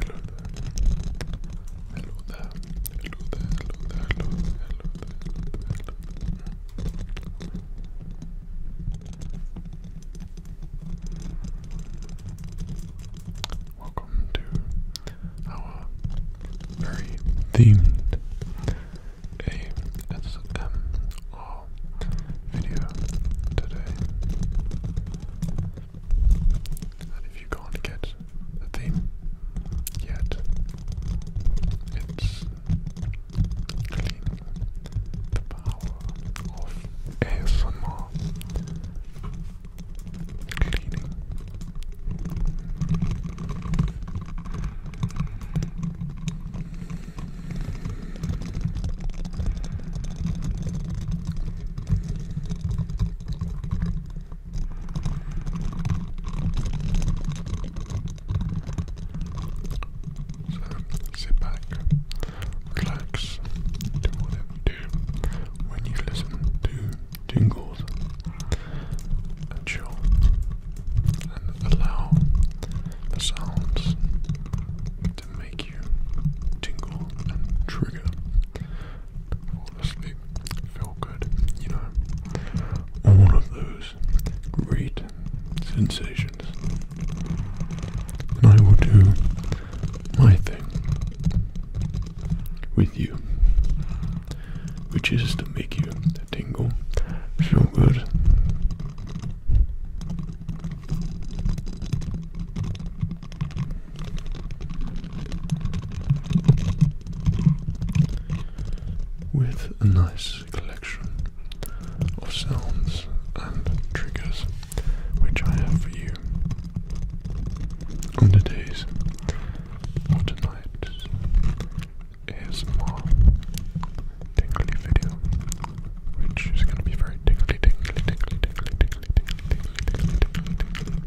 Hello there. Hello there. Hello there. Hello there. Hello there. Welcome to our very themed ASMR video today. And if you can't get the theme yet, it's cleaning the power of ASMR. Cleaning. So sit back, relax, do whatever you do when you listen to jingles and chill and allow the sounds make you tingle and trigger. Fall asleep, feel good, you know. All of those great sensations. And I will do my thing with you, which is to make you tingle, feel good with a nice collection of sounds and triggers which I have for you on the days or tonight's ASMR tingly video which is going to be very tingly, tingly, tingly, tingly, tingly, tingly, tingly, tingly, tingly, tingly. Tingly,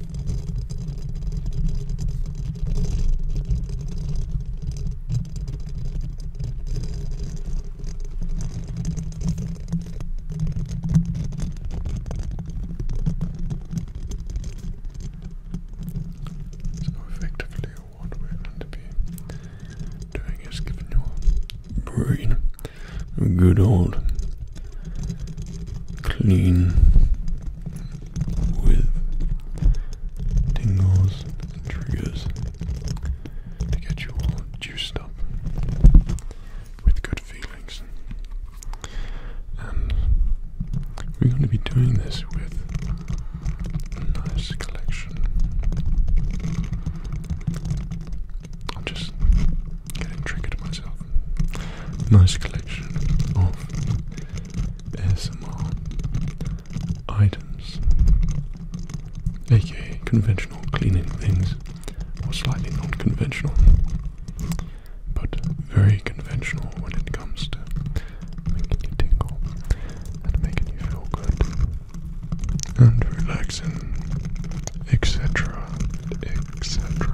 So effectively what we're going doing is giving your brain a good old clean with tingles triggers to get you all juiced up with good feelings. And we're going to be doing this with a nice collection. I'm just getting triggered myself. Nice collection of ASMR items, aka conventional cleaning things, or slightly non conventional, but very conventional when it comes to making you tingle and making you feel good and relaxing, etc. etc.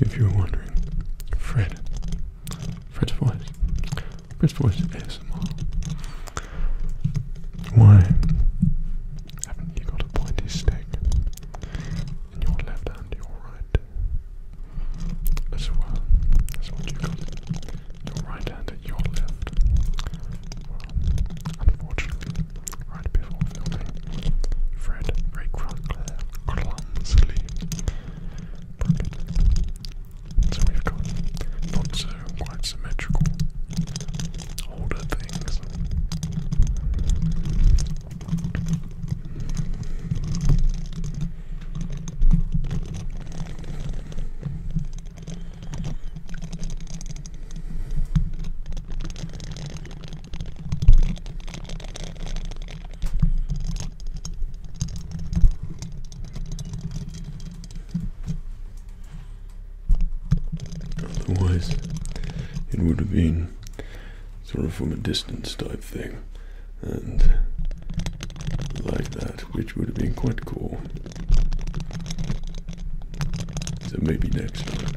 If you are wondering, Fred, Fred's voice Chris Voice is Why haven't you got a pointy stick in your left and your right? As well, that's what you got. Your right hand and your left. unfortunately, right before filming, Fred very clumsily so we've got lots of quite symmetrical older things. Otherwise, it would have been sort of from a distance type thing, and like that, which would have been quite cool. So maybe next time.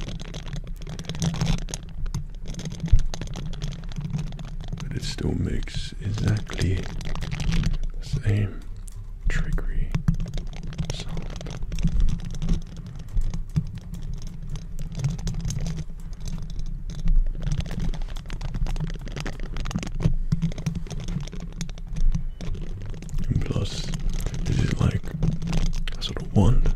But it still makes exactly the same triggery plus, this is like a sort of one thing.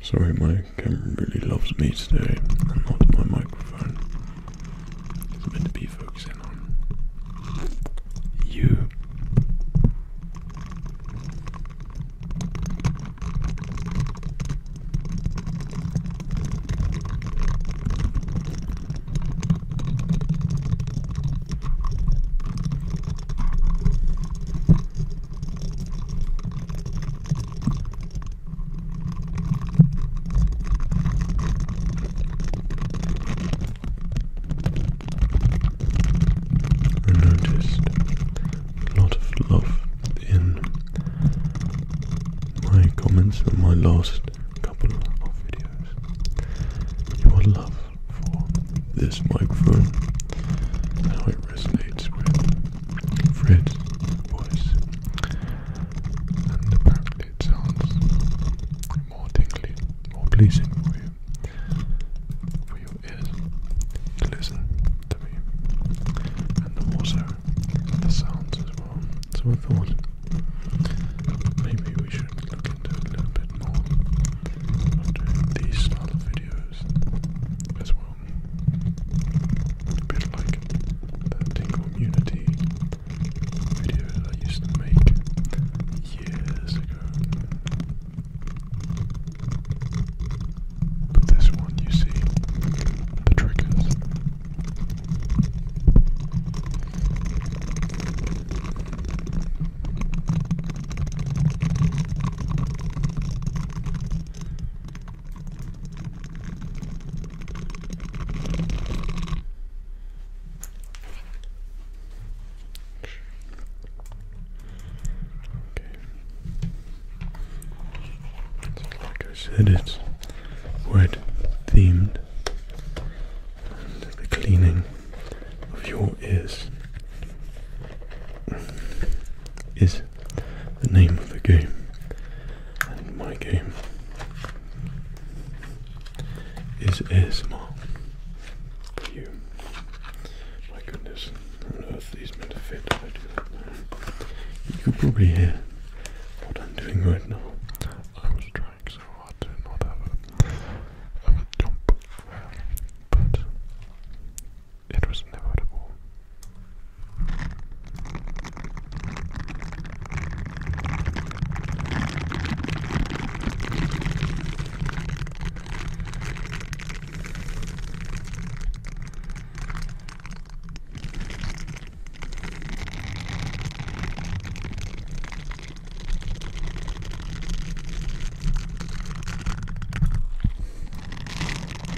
Sorry, my camera really loves me today not my microphone. It's meant to be focusing on you. I noticed a lot of love in my comments from my last couple of videos. Your love for this microphone, how it resonates with Fred's voice, and apparently it sounds more tingly, more pleasing for you, for your ears to listen to me, and also the sounds as well. So I thought maybe we should look into a little bit more. doing these style of videos as well. A bit like the Tingle Immunity video I used to make years ago. But this one, you see the triggers like I said, it's wood themed, and the cleaning of your ears is the name of the game. And my game is ASMR you. My goodness, on earth these meant fit. I do that now. You could probably hear what I'm doing right now. I was trying so hard to not have a, have a jump, but it was inevitable.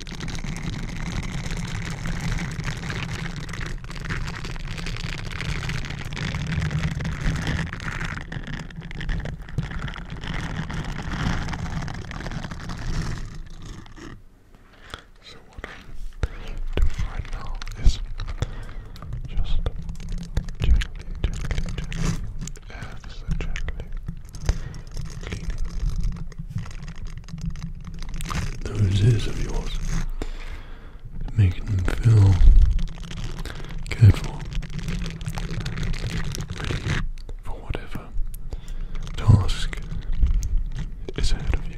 So what I'm right now is just gently, gently, gently, and gently cleaning those ears of yours. Making them feel careful for whatever task is ahead of you.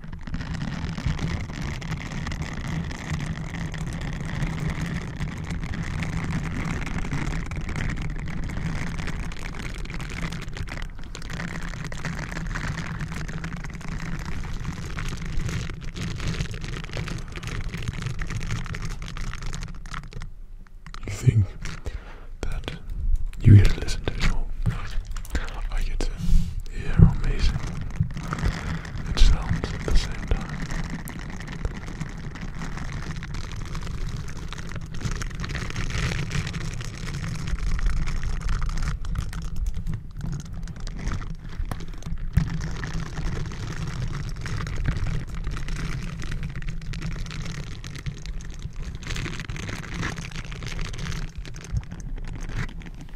You think that you get to listen all because I get to hear amazing it sounds at the same time.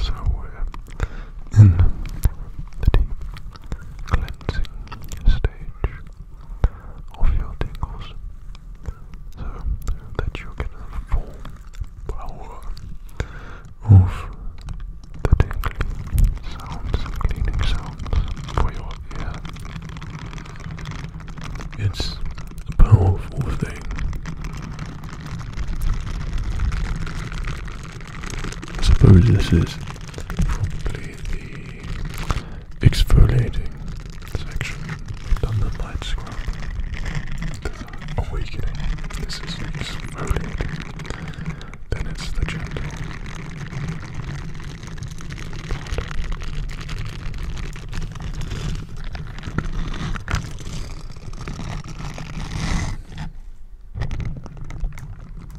So we're in the deep cleansing stage of your tingles so that you can have full power of the tingling sounds cleaning sounds for your ear. It's a powerful thing. I suppose this is probably the exfoliating section. done the light scrub. The awakening. This is the exfoliating. Then it's the gentle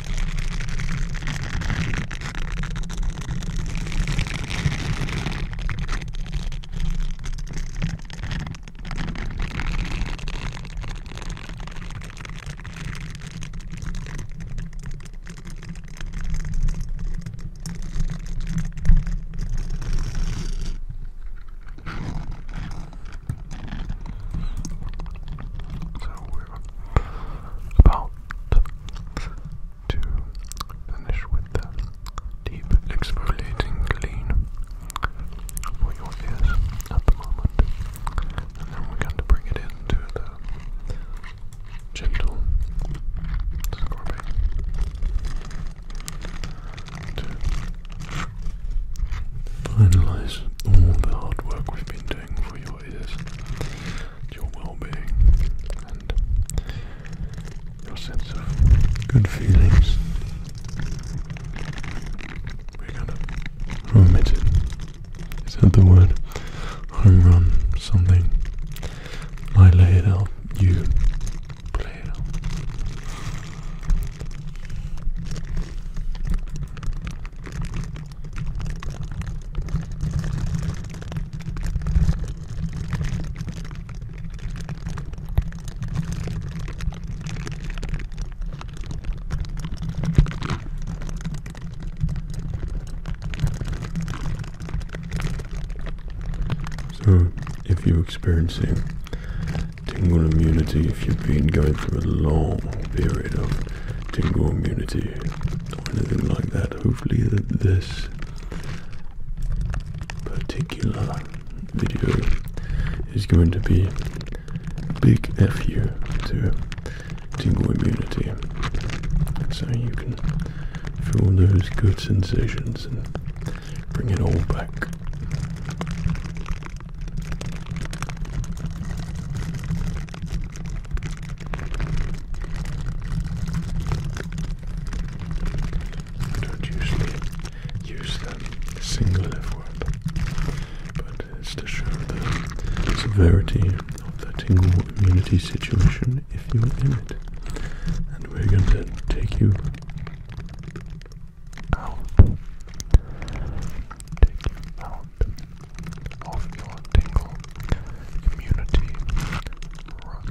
So we're about to finish with the deep exfoliating clean for your ears at the moment. And then we're going to bring it into the gentle scrubbing to finalize all the hard work we've been doing for your places, your well-being, and your sense of good feelings. We're kind of home it. Is that the word? Home run something. I lay it out. You play it out. So, if you're experiencing tingling immunity, if you've been going through a long period of tingling immunity, or anything like that. Hopefully, that uh, this particular video is going to be big F you to tingle immunity, so you can feel those good sensations and bring it all back. I don't usually use them single F word, but it's to show the severity of the tingle situation if you're in it. And we're going to take you out. Take you out of your tingle community, rut. Okay.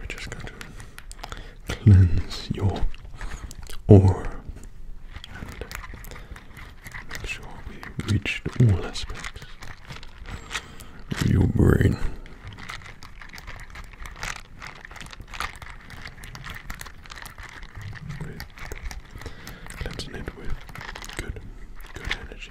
we just going to cleanse your aura and make sure we reach all aspects of your brain. With it with good, good energy,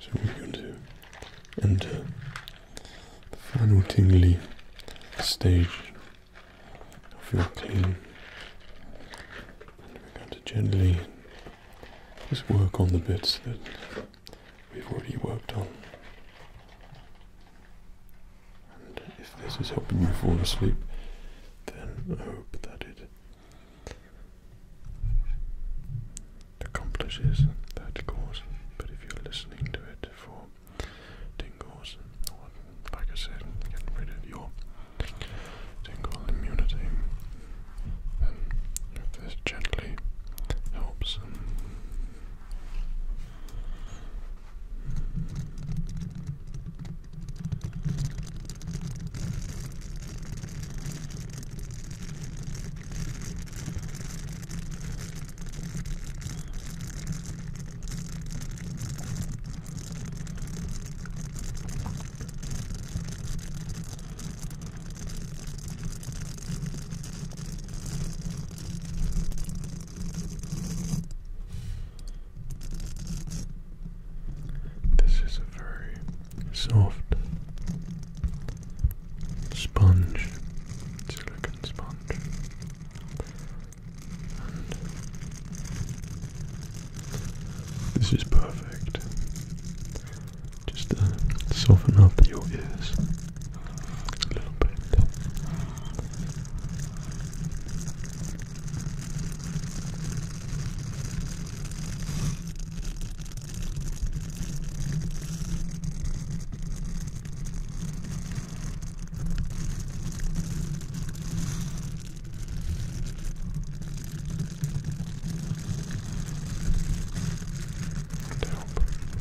So we're going to enter the final tingly stage of your cleaning and gently just work on the bits that we've already worked on. And if this is helping you fall asleep, then I hope that it accomplishes that cause. But if you're listening to it for tingles, or like I said, getting rid of your tingle immunity. Then, if this gently helps. This is a very soft sponge, silicon sponge, this is perfect. Just uh, soften up your ears a little bit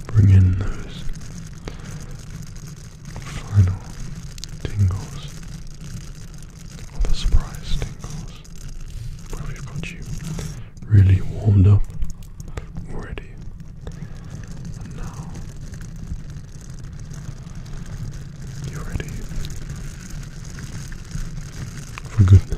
bring in those final tingles or the surprise tingles where we've got you really warmed up already. now you ready for goodness.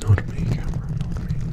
Not me, camera, not me.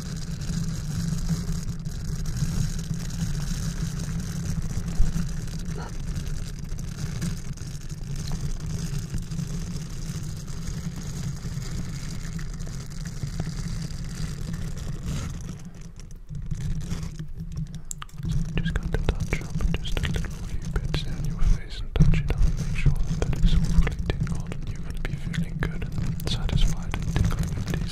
So we just got to touch up just a little few bits down your face and touch it up make sure that it's all tingled you're going to be feeling good and satisfied and tingling and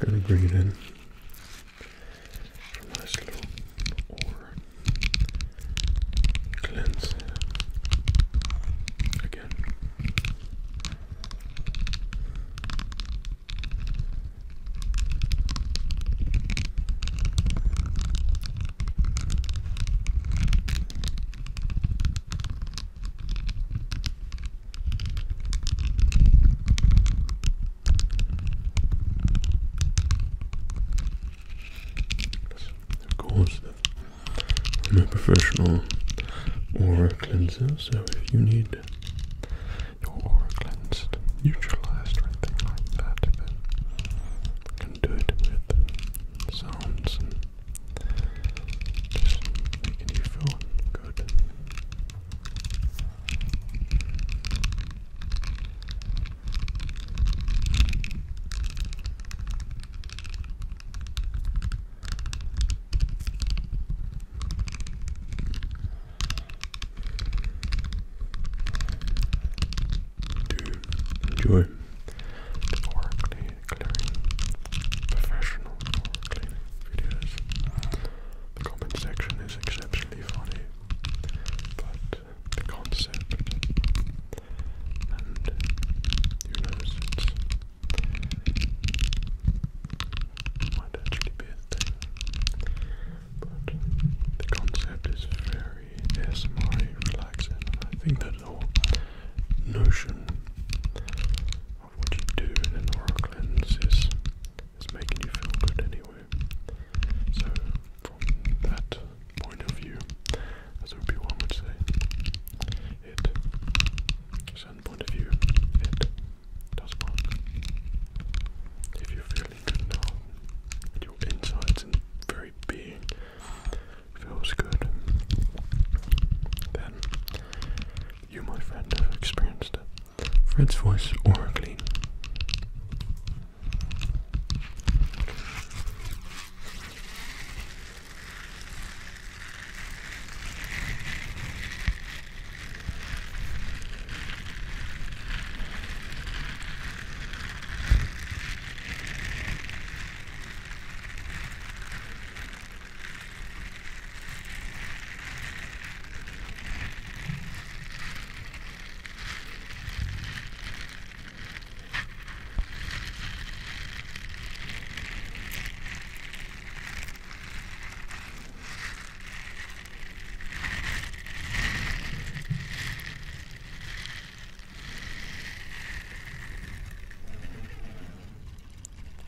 We're going to bring it in. A nice little cleanse again. Of course, I'm a professional aura cleanser, so if you need your aura cleansed, neutralized, or anything like that, I can do it with sounds and just making you feel good. Do enjoy. Oracle clearing, professional clearing videos. The comment section is exceptionally funny, but the concept, and you might actually be a thing, but the concept is very SMI relaxing, I think that whole notion of what you do in an is, is making you feel good anyway. So, from that point of view, as would be would say, it, certain point of view, it does work. If you're feeling good now, your insides and very being feels good, then you, my friend, have experienced Fred's voice or clean.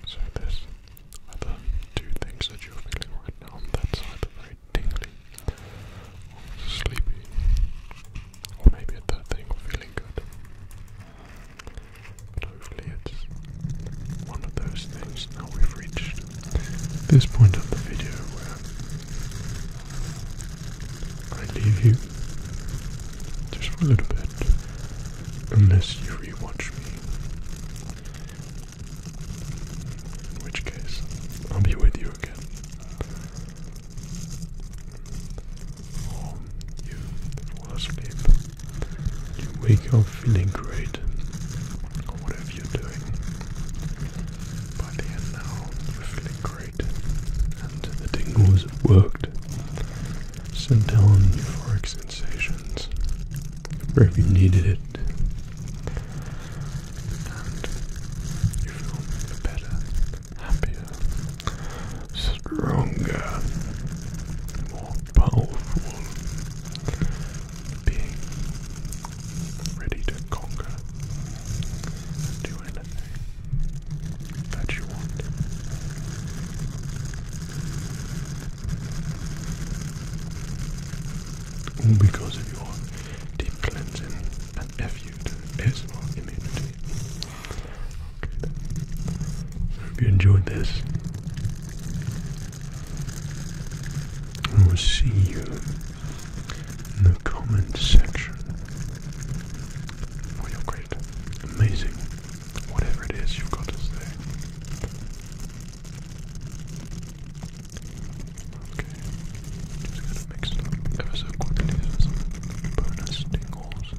So this whether two things that you're feeling right now, that's either very tingly sleepy, or maybe a thing, or feeling good. But hopefully it's one of those things. Now we've reached this point of the video where I leave you just for a little bit. Unless you rewatch me. which case, I'll be with you again. you fall asleep. You wake up feeling great. Or whatever you're doing. By the end now, you're feeling great. And the tingles have worked. Centellum euphoric sensations where you needed it and you feel better, happier, stronger, more powerful, being ready to conquer do anything that you want because of your deep cleansing and FU to ASMR immunity. Okay then. I hope you enjoyed this. I will see you in the comment section for your great, amazing Whatever it is, you've got to say. Okay, just gonna mix it ever so quickly for some bonus tingles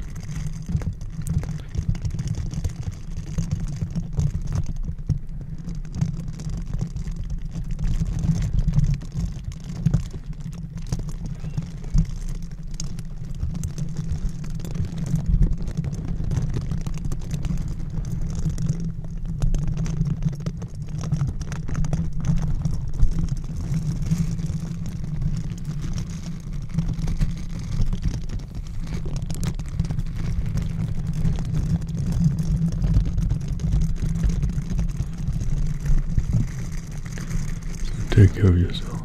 take care of yourself.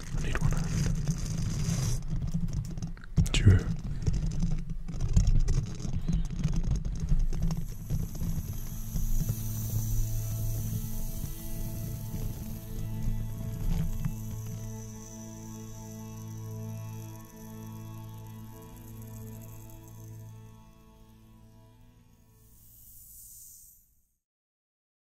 I True.